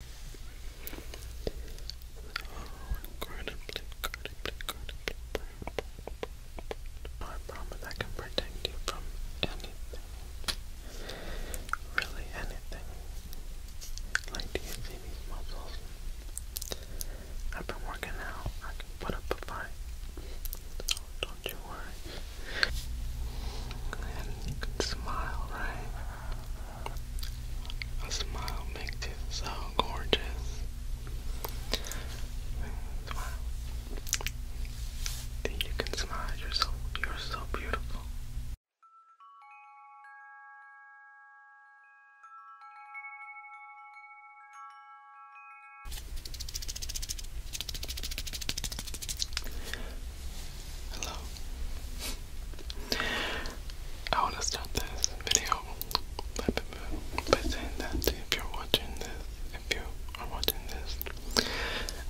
Oh, incredibly, incredibly, incredibly I promise I can protect you from anything. Really anything. Like, do you see these muscles? I've been working out. I can put up a fight. So oh, don't you worry. And you can smile, right? A smile makes you so gorgeous. Smile. Then you can smile. you you're so beautiful. Hello. I want to start this video by saying that if you're watching this, if you are watching this,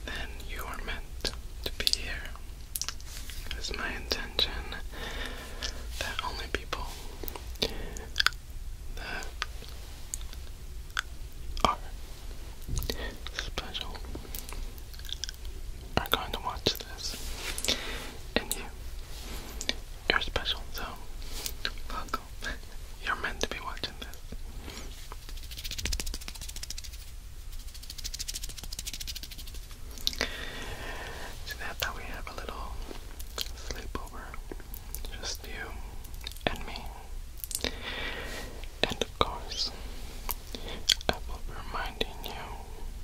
then you are meant to be here. It's my intention that only people that are special are going to watch this. And you, you're special, so welcome. You're meant to be watching this. So now we have a little sleepover, just you and me. And of course, I will reminding you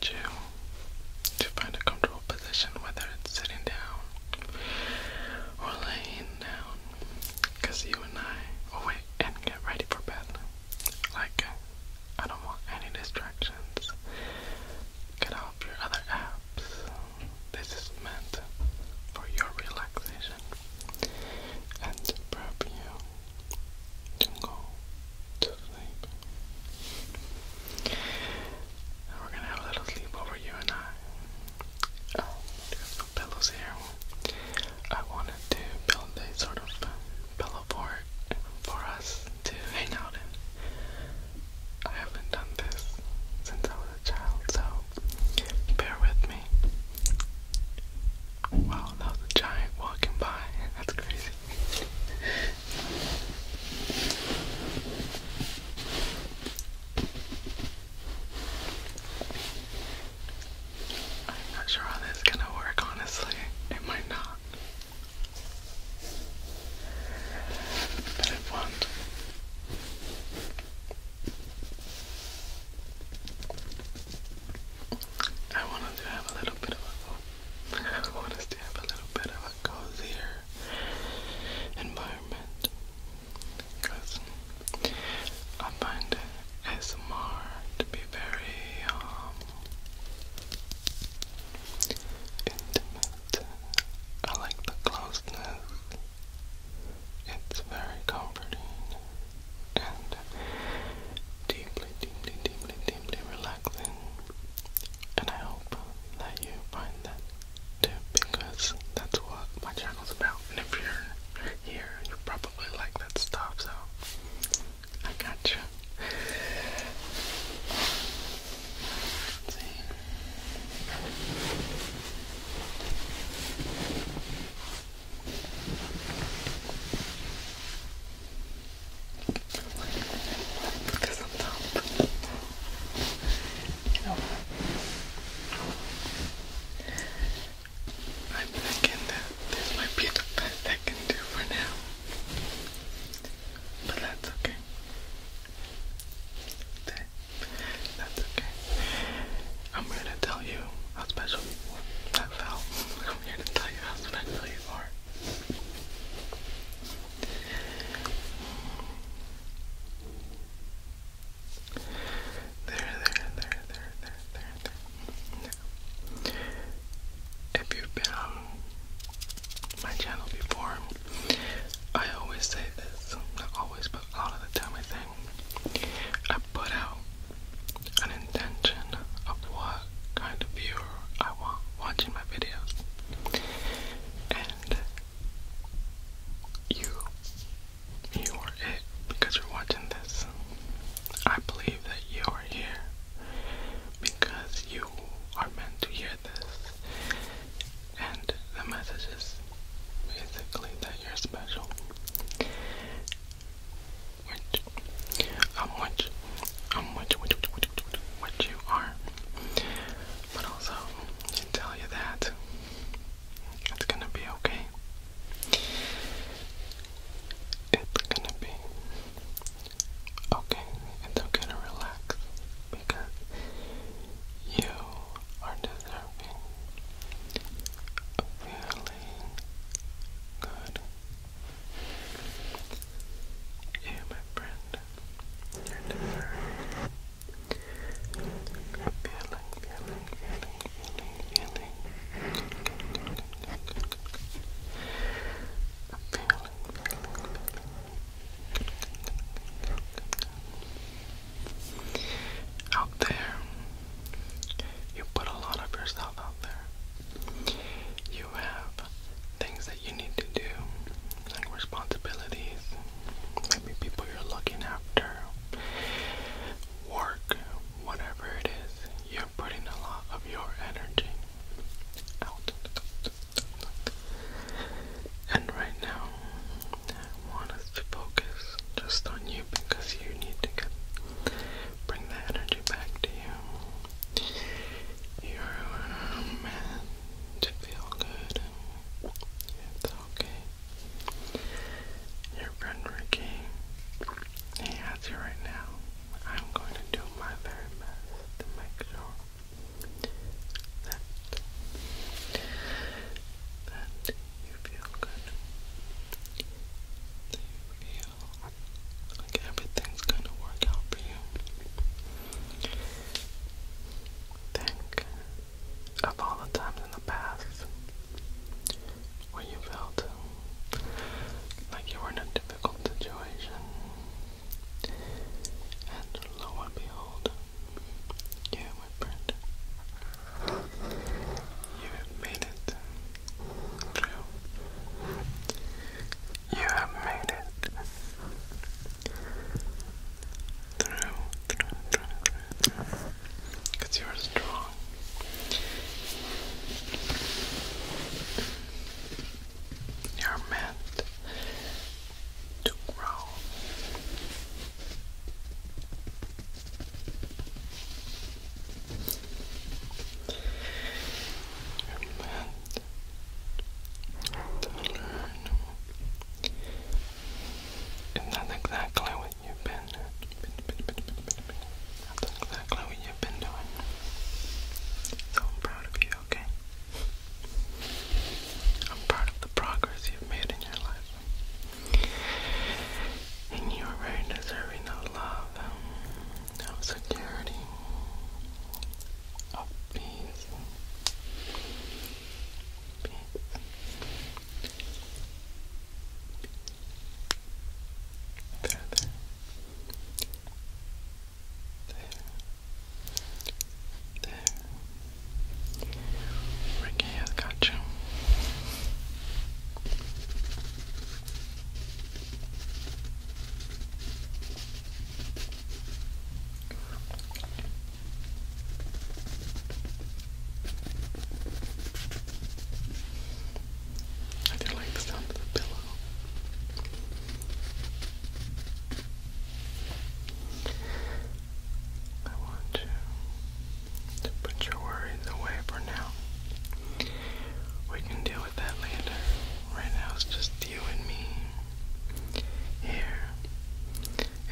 you to find a comfortable position, whether it's sitting down or laying down, because you and I will oh, wait and get ready for bed. Like, I don't want any distractions. Get off your other apps. This is meant for your relaxation and to prep you and go to sleep. we're gonna have a little sleep over you and I. there's um, no pillows here. I wanted to build a sort of pillow fort for us to hang out in. I haven't done this since I was a child, so bear with me. Wow, that a giant walking by. That's crazy. I'm not sure how this is gonna work, honestly. It might not. But it won't. I wanted to have a little bit of a I want us to have a little bit of a cozier environment because I find ASMR to be very um, intimate. I like the closeness. It's very comforting and deeply, deeply, deeply, deeply relaxing and I hope that you find that too because that's what my channel's about. And if you're here, you probably like that stuff, so I got you. see. I'm thinking that this might be the best I can do for now. But that's okay. That, that's okay. I'm here to tell you how special I felt. I'm here to tell you how special you are there, there, there, there, there, there. If you've been on my channel before, I always say this, not always, but a lot of the time I think I put out intention of what kind of viewer I want watching my videos. And you, you are it because you're watching this. I believe that you are here because you are meant to hear this. And the message is basically that you're special what, um, what, um, what, what, what, what, what you are. But also, I tell you that it's gonna be okay. It's gonna be okay. It's okay to relax because you are deserving of feeling good. You, my friend, feeling, feeling. Feeling, feeling, feeling. Out there, you put a lot of yourself out there. You have things that you need to do, like responsibilities, maybe people you're looking after, work, whatever it is, you're putting a lot of your energy out. And right now, I want us to focus just on you because you need to get, bring that energy back to you. You're meant to feel good. It's okay. Your friend Ricky, he has you right now. I'm going to do my very best to make sure that that you feel good. you feel like everything's gonna work out for you. Think of all the times in the past where you felt like you were in a difficult situation. And lo and behold, you remembered. You made it through. You have made it through, you are strong. You're meant to grow. You're meant to learn. exactly what you've been, uh, exactly what you've been doing. So I'm proud of you, okay? I'm proud of the progress you've made in your life. And you are very deserving of love of security, oh, peace. there. There. There. Ricky has got you. I do like the sound of the pillow. I want you to put your worries away for now. We can deal that later. Right now it's just you and me here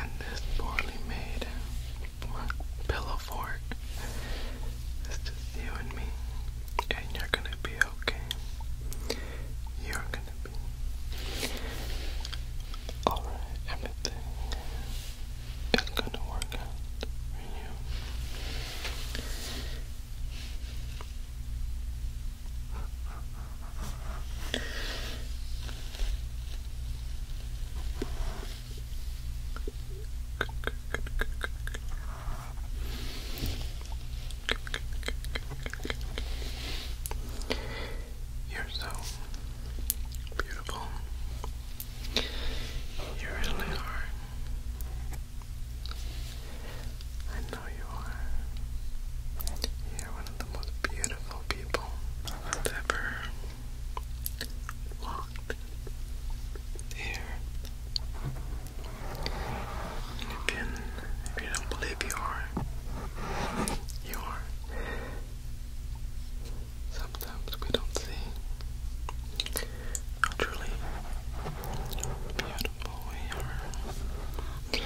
and this poorly made pillow fort. It's just you and me, and you're gonna be okay. You're gonna be alright. Everything is gonna work out for you. You're so beautiful. You really are. I know you are. You're one of the most beautiful people ever walked here. you, if you don't believe you are, you are. Sometimes we don't see truly beautiful we are.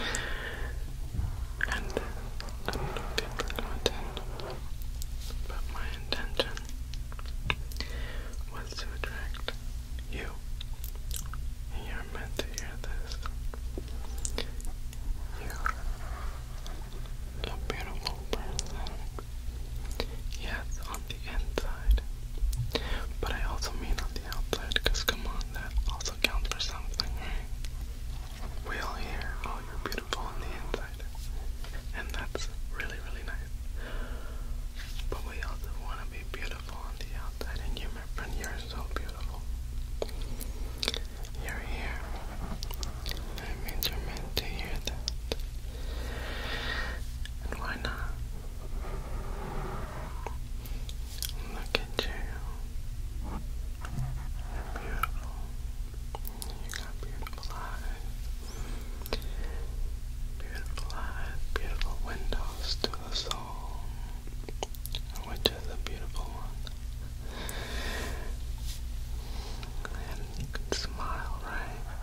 And I'm not but my intention was to attract you. You're meant to hear this. You're a beautiful person. Yes, the inside. But I also mean on the outside, because come on, that also counts for something, right? We all hear, oh, you're beautiful on the inside. And that's really, really nice. But we also want to be beautiful on the outside, and you, my friend, you're so beautiful. You're here. That means you're meant to hear that. And why not? Look at you. You're beautiful. You got beautiful eyes. Beautiful eyes, beautiful windows to the soul. Which is a beautiful one. And you can smile, right?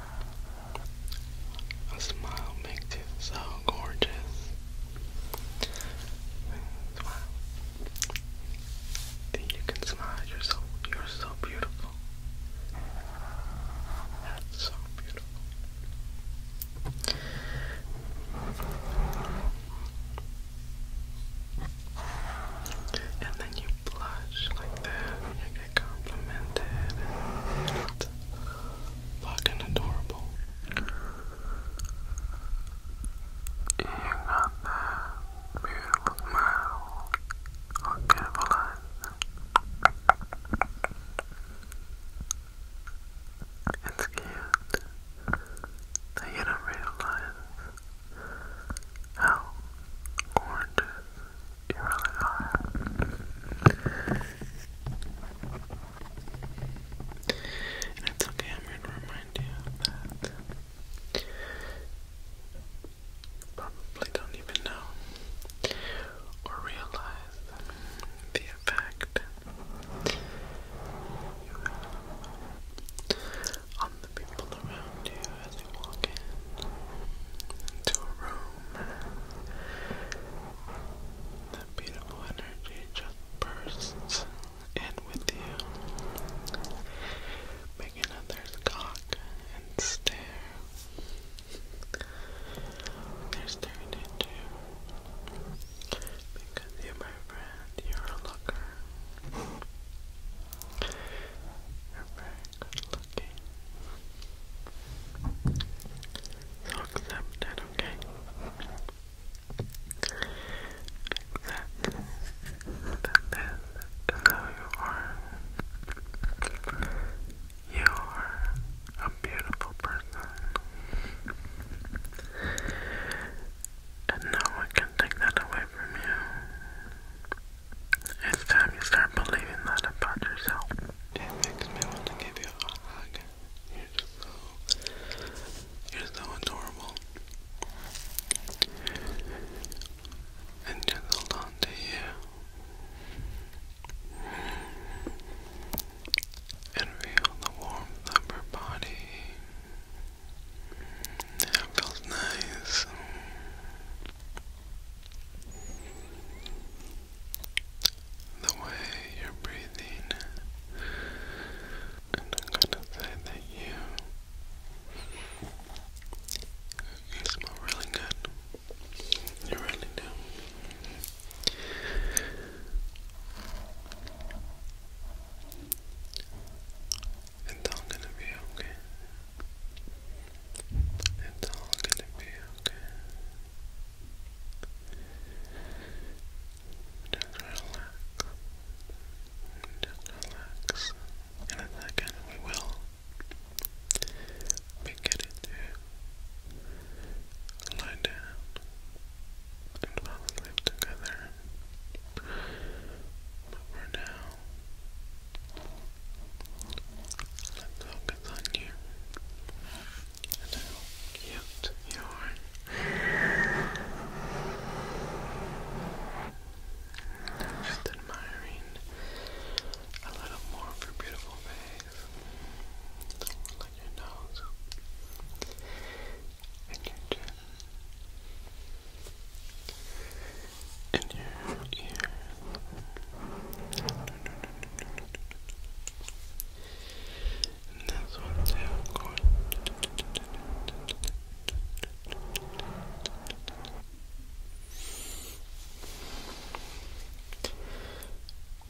A smile makes you so gorgeous. Then you can smile. You're so you're so beautiful. That's so beautiful. And then you blush like that, you get complimented fucking adorable. You got that beautiful smile. Oh, beautiful eyes. It's that you don't realize how gorgeous you really are. And it's okay, I'm going to remind you that probably don't even know or realize the effect you have on the people around you as you walk into a room. That beautiful energy just bursts in with you, making others gawk and stare. They're staring at you because you, my friend, you're a looker. You're very good looking. So accept that, okay? Accept that this you are. You are a beautiful person. And no one can take that away from you. It's time you start believing that about yourself. It makes me want to give you a hug. You're so, you're so adorable. And just hold on you. And feel the warmth of her body. That feels nice the way you're breathing, and I'm gonna say that you you smell really good. You really do. It's all gonna be okay. It's all gonna be okay. Just relax. Just relax. And in a second we will be to lie down and fall asleep together. But for now, let's focus on you and you I'm admiring a little more of your beautiful face, like your nose your chin and your ear that's what they are called.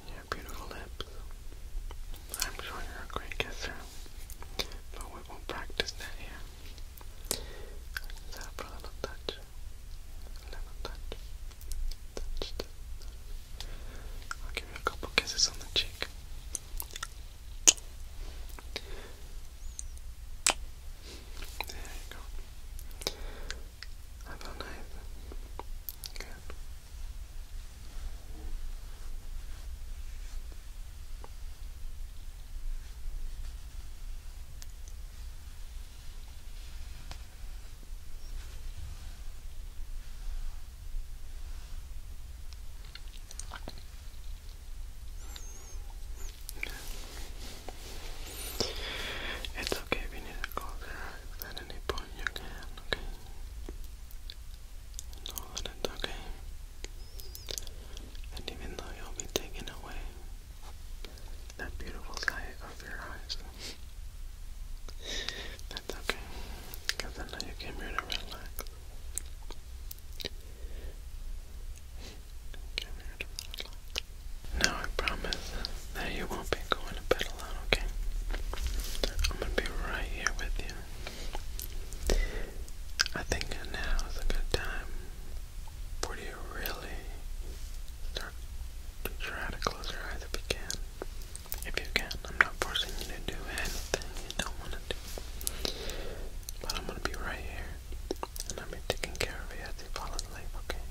your beautiful lips. I'm sure you're a great kisser, but we won't practice that here. Except a little touch, a little touch, I'll give you a couple kisses on the cheek. There you go. I feel nice. It's okay if you need at any point you can, okay? Know that it's okay. And even though you'll be taken away, that beautiful sight of your eyes that's okay, because I know you came here to relax. Now I promise that you won't be going to bed alone, okay? I'm gonna be right here with you. I think now is a good time for you really try to close your eyes if you can. If you can, I'm not forcing you to do anything you don't want to do. But I'm gonna be right here, and I'll be taking care of you as you fall asleep, okay?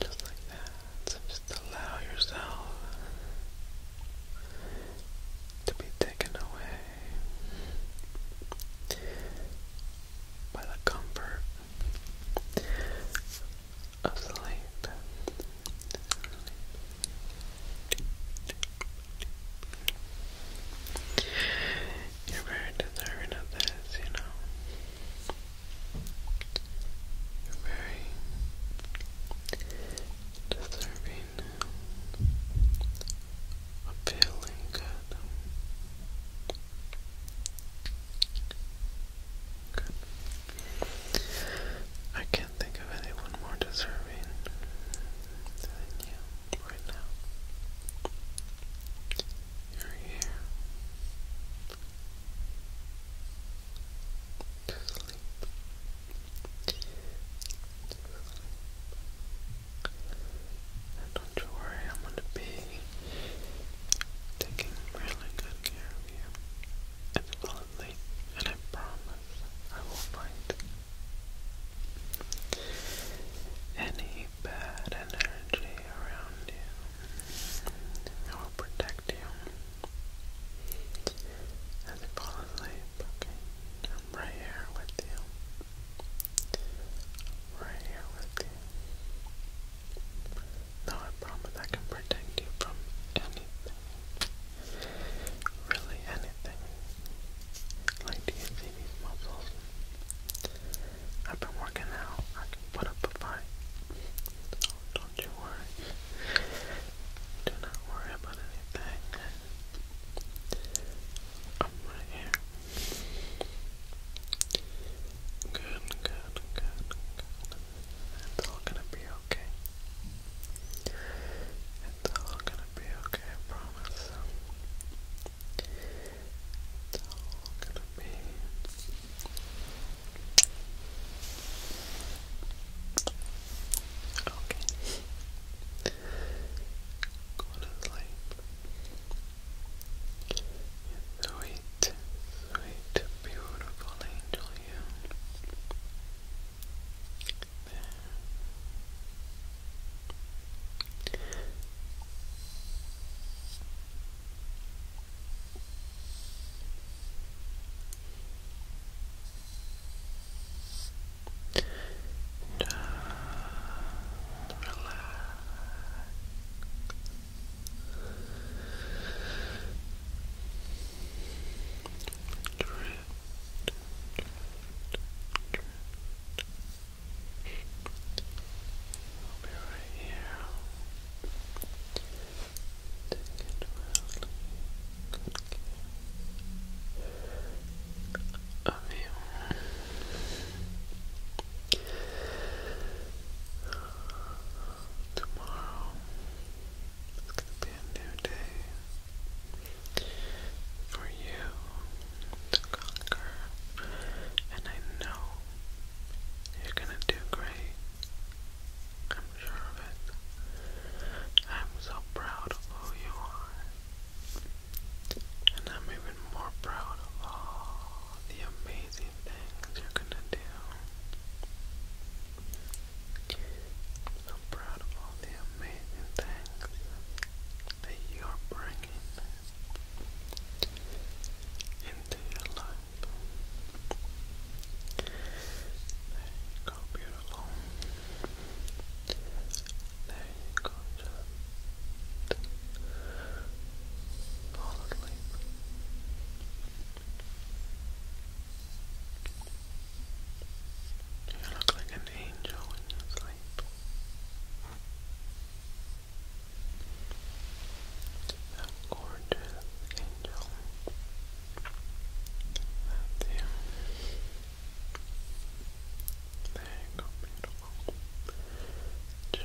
Just like that. just allow yourself to be taken away by the comfort asleep. You're very deserving of this, you know. You're very deserving of feeling good. I can't think of anyone more deserving than you right now. You're here. To sleep don't you worry, I'm gonna be taking really good care of you. It's not late, and I promise I will find any bad energy around you. I will protect you as you fall asleep, okay? I'm right here with you. right here with you. No, I promise I can protect you from anything. Really anything. Like, you see these muscles? I've been working out. I can put up a fight. Oh, don't you worry. Do not worry about anything. I'm right here. Good, good, good, It's all gonna be okay. It's all gonna be okay, I promise. It's all gonna be okay. Go sleep. you sweet, beautiful angel you. relax, I'll be right here. Take it well. you. Tomorrow it's gonna be a new day for you to conquer, and I know you're gonna do great. I'm sure of it. I'm so proud of who you are, and I'm even more proud of all all the amazing things you're gonna do. I'm proud of all the amazing things that you're bringing into your life. There you go, beautiful. There you go, Fall You look like an angel when you sleep. A gorgeous angel. There you go, beautiful. Just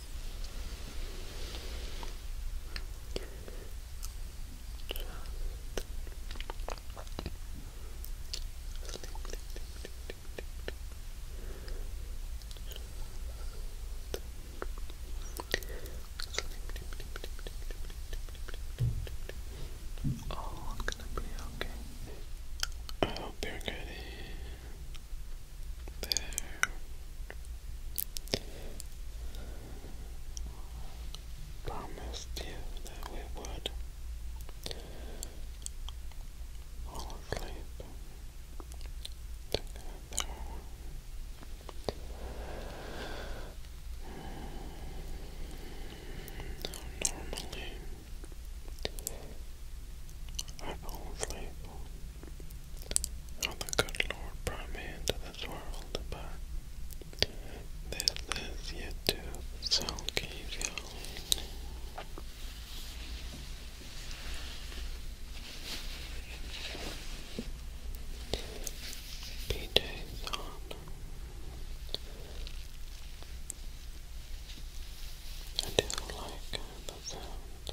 Oh, I'm gonna be okay. I hope you're getting I Promised you that we would all sleep together. normally, I fall asleep Oh, the good Lord brought me into this world, but this is yet to so keep going. PJ's on. I like ripple you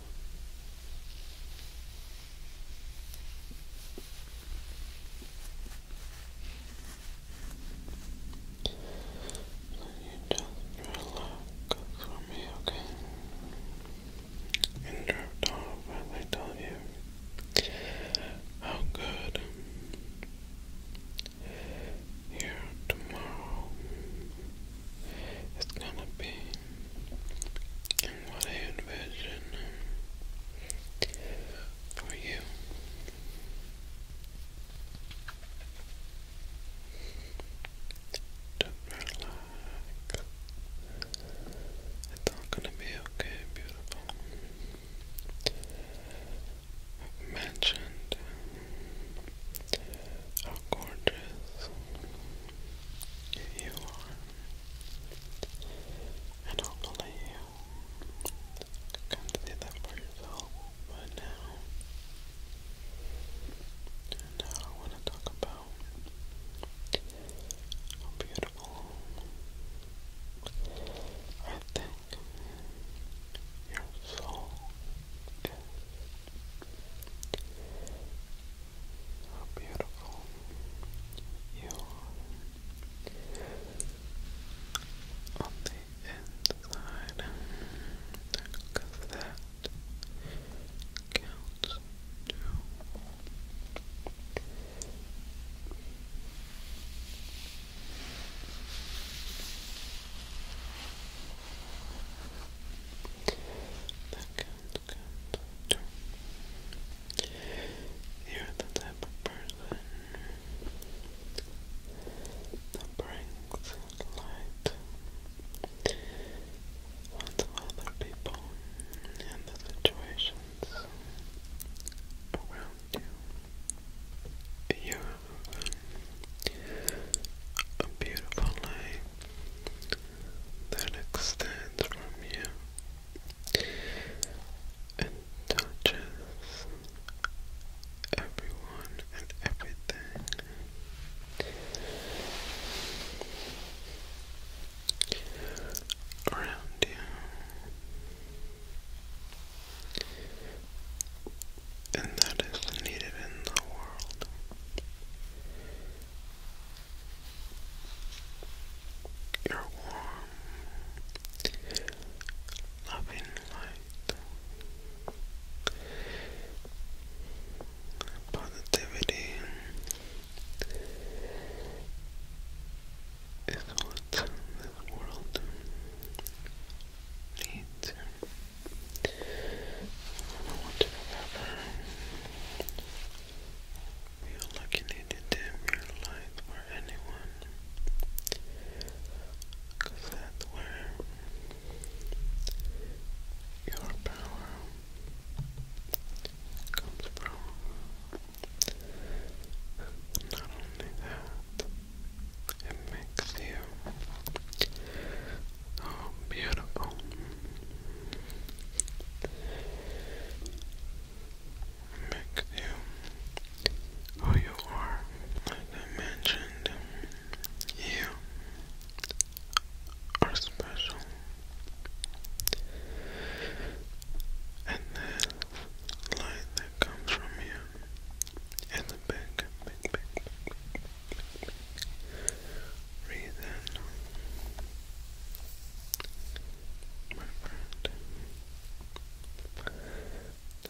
just relax for me, okay? And drift off as I tell you how good here tomorrow it's gonna be and what I envision for you. Just relax. It's all gonna be okay, beautiful. I've mentioned how gorgeous if you are. And hopefully you can see that for yourself by now. now I want to talk about how beautiful I think your soul is. How beautiful you are on the inside. Because that counts too. That good, You're the type of person that brings light onto other people and the situations around you. You have a beautiful life that extends from you and touches everyone and everything. Around you, and that is needed in the world. Your warm, loving light, positivity is what this world needs. I don't want to remember. you dim your light or anyone. Cause that's where your power comes from. Not only that, it makes you Oh, beautiful. Make you who you are. Like I mentioned, you are special. And the light that comes from you is big, big, big, Breathe in, my friend.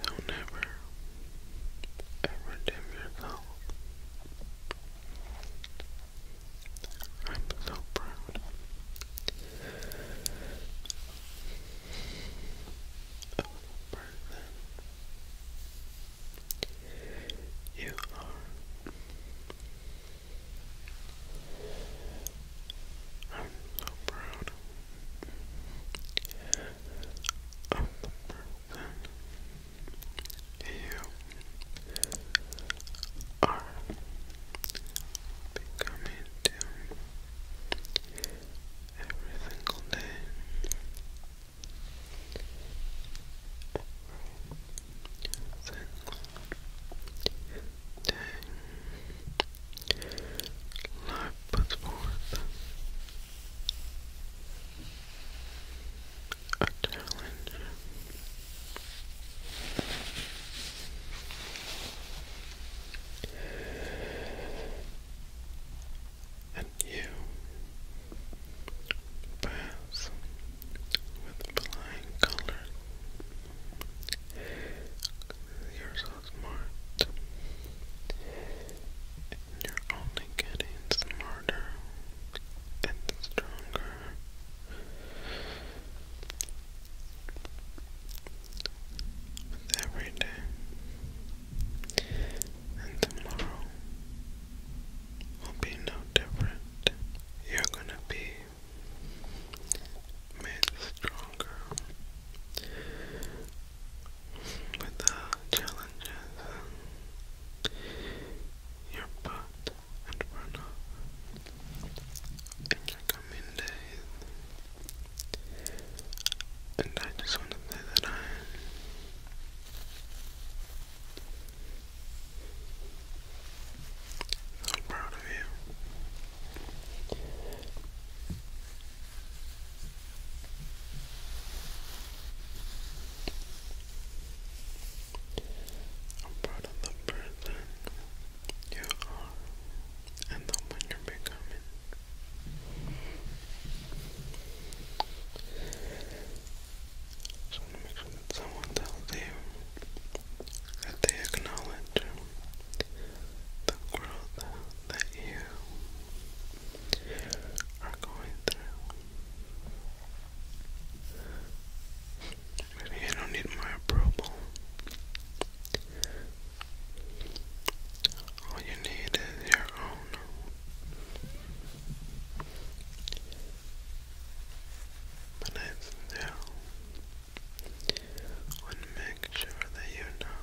Don't ever, ever dim yourself. I'm so proud of the person you are. I'm so proud of the person you are becoming every single day. Every seven, ten. Life puts forth a challenge. And you pass with flying colors. You're so smart. you're only getting smarter and stronger. With every day. And tomorrow will be no different you're going to be made stronger with the challenges you're put in front in your coming days. And I just want to say that I so proud of you. I'm proud of the person you are and the one you're becoming. So make sure that someone tells you that they acknowledge the growth that you are going through. you don't need my approval. All you need is your own. But it's now want to make sure that you know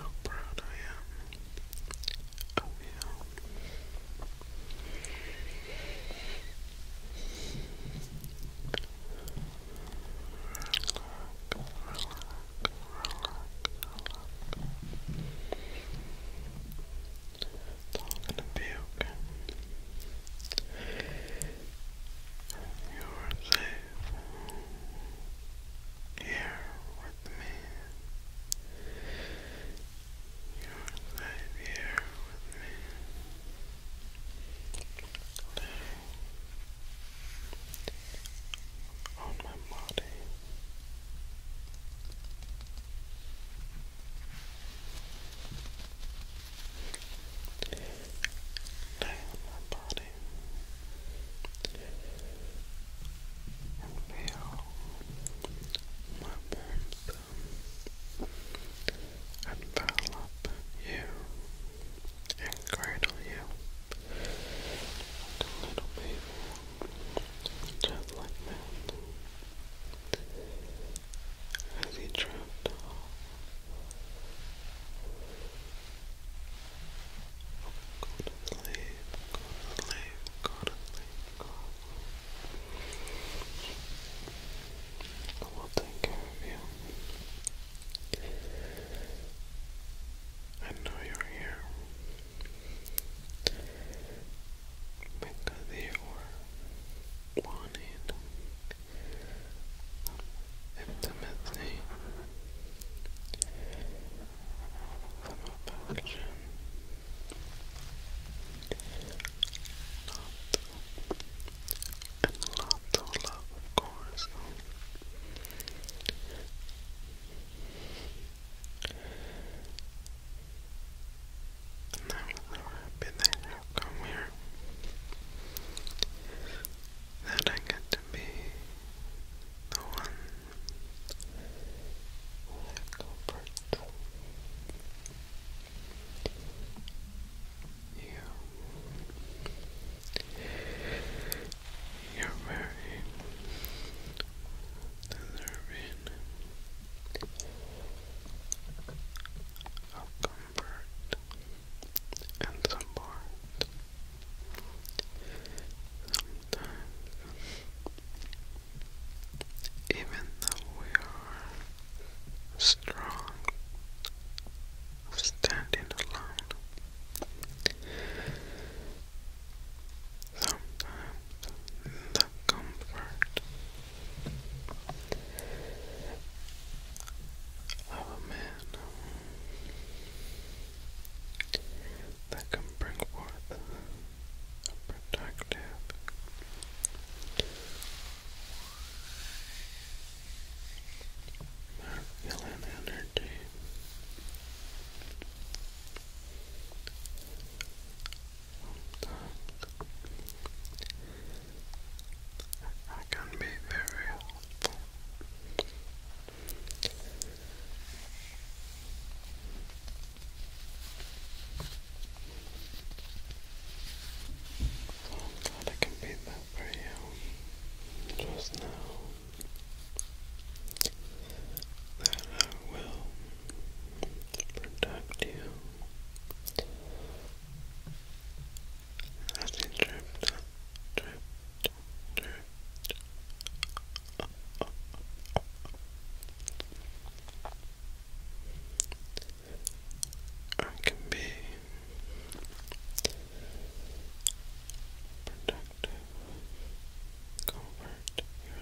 how proud I am of you. It's all gonna be okay. You are safe here with me. You are safe here with me. on my body down my body and feel my warmth envelop you and cradle you little baby. Just like that. As he dropped off. Go to sleep, I will take care of you. I know you're here because they were wanted intimacy, some affection, and lots of love, of course. And I'm so happy that you come here. That I get to be the one that comforts you. You're very deserving of comfort and support. even though we are strong, standing alone, sometimes the comfort of a man that can bring forth a protective masculine energy sometimes can be very helpful. I'm glad I can be that for you um, just now. That I will protect you I can be protective,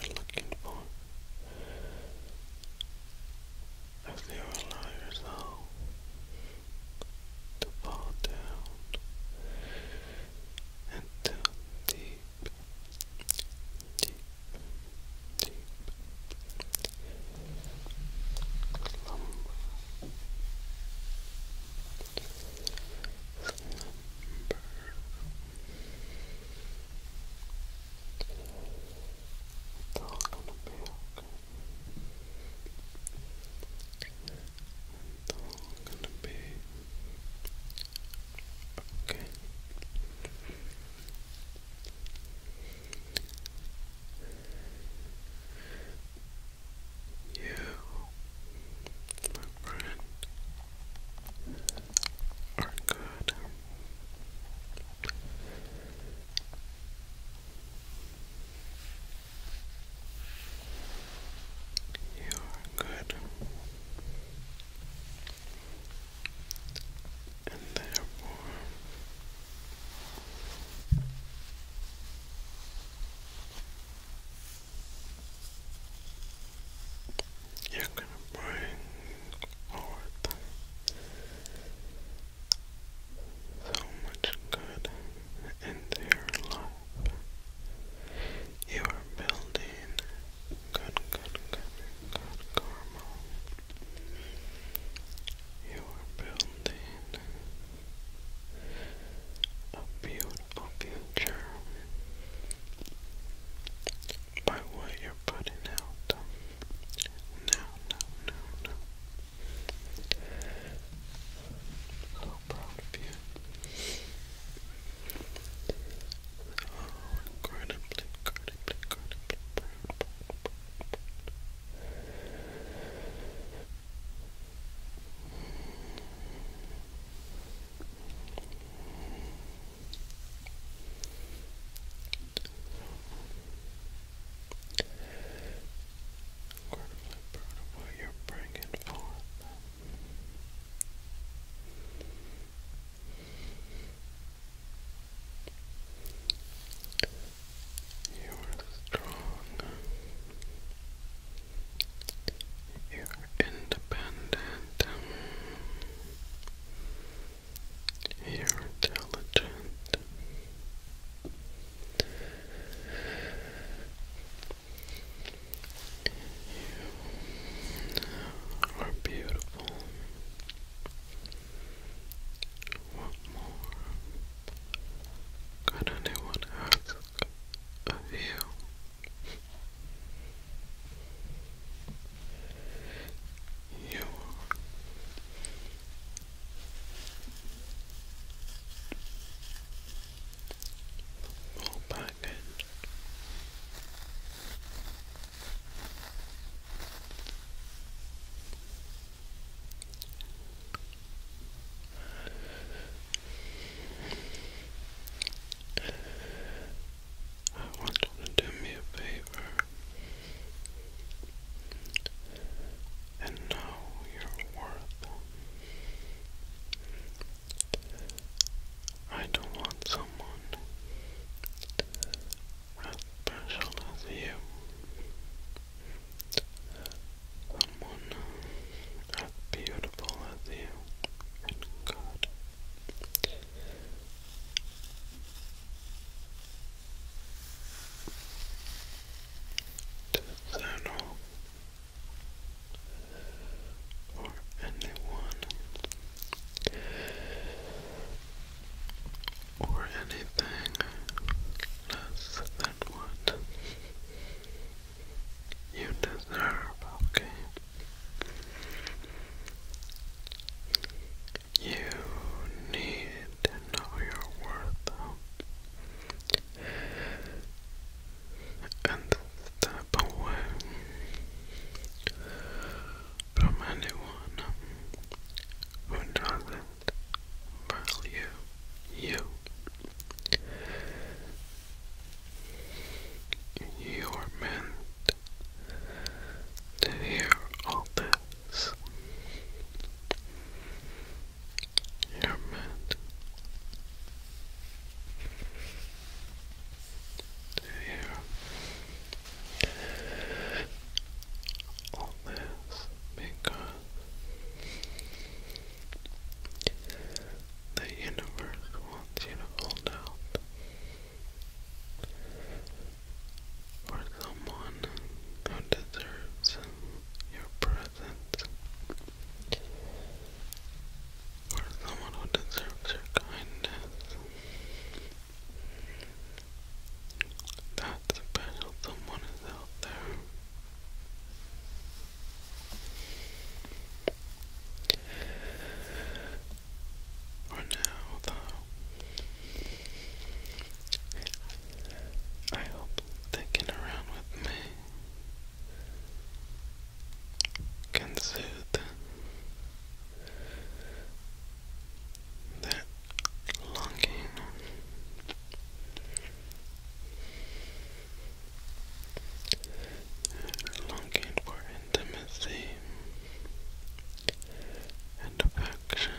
you're looking for. As you allow yourself to fall down into deep, deep, deep Slumber. Slumber. It's all gonna be okay. It's all gonna be okay. You, my friend, are good. You are good. And therefore, you're gonna bring forth so much good into your life. You are building good, good, good, good karma. You are building a beautiful future by what you're putting out. No, no, no, no. proud of you. Oh, incredibly, incredibly, incredibly proud, proud, proud, proud. Incredibly proud you bringing forth. You are strong. You're independent. You're intelligent. You are beautiful. What more could anyone ask of you? You fall back in. I want you to do me a favor. And know your worth. I don't want someone as special as you. Someone as beautiful as you and good External or anyone or anything less than what you deserve, okay? You need to know your worth and step away from anyone who doesn't value you. You are meant to hear all this. You're meant to hear all this because the universe wants you to hold out for someone who deserves your presence, for someone who deserves your kindness. That special someone is out there. Or now, though. I hope thinking around with me can soothe that longing. Longing for intimacy sympathy and affection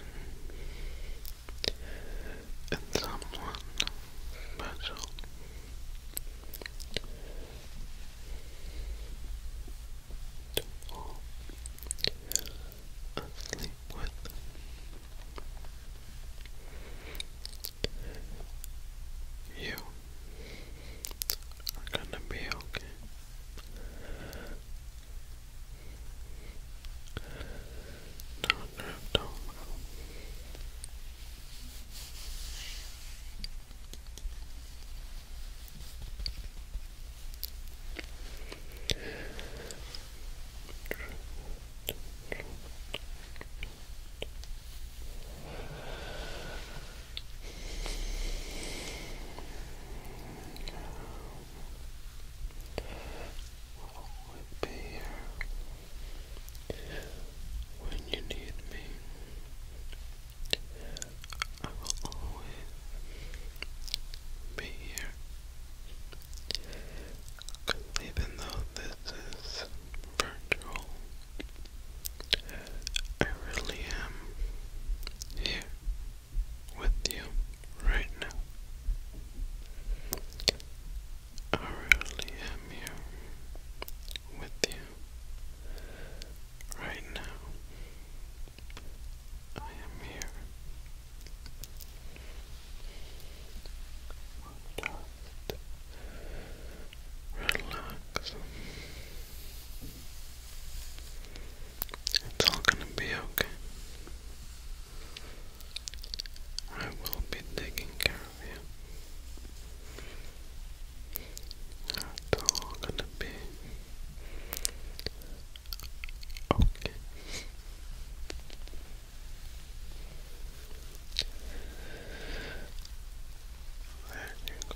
in someone special. To fall asleep with. You I'm gonna be okay. Now drift over. Drift, drift, drift. I would be here when you need me. I will always be here. even though this is virtual, I really am here with you right now. I really am here with you right now. I am here. Just relax. It's all gonna be okay. I will be taking care of you. It's all gonna be okay. There you go.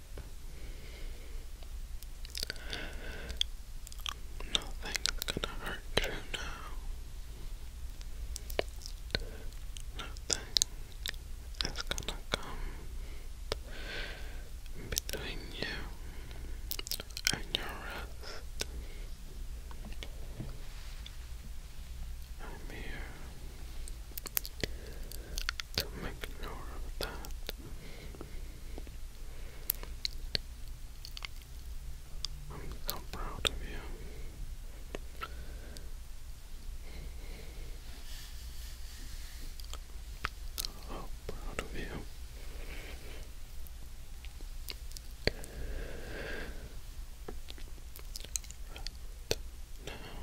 Nothing's gonna hurt you now. Nothing is gonna come between you and your rest. I'm here so make a of that. I'm so proud of you. So proud of you. Right now,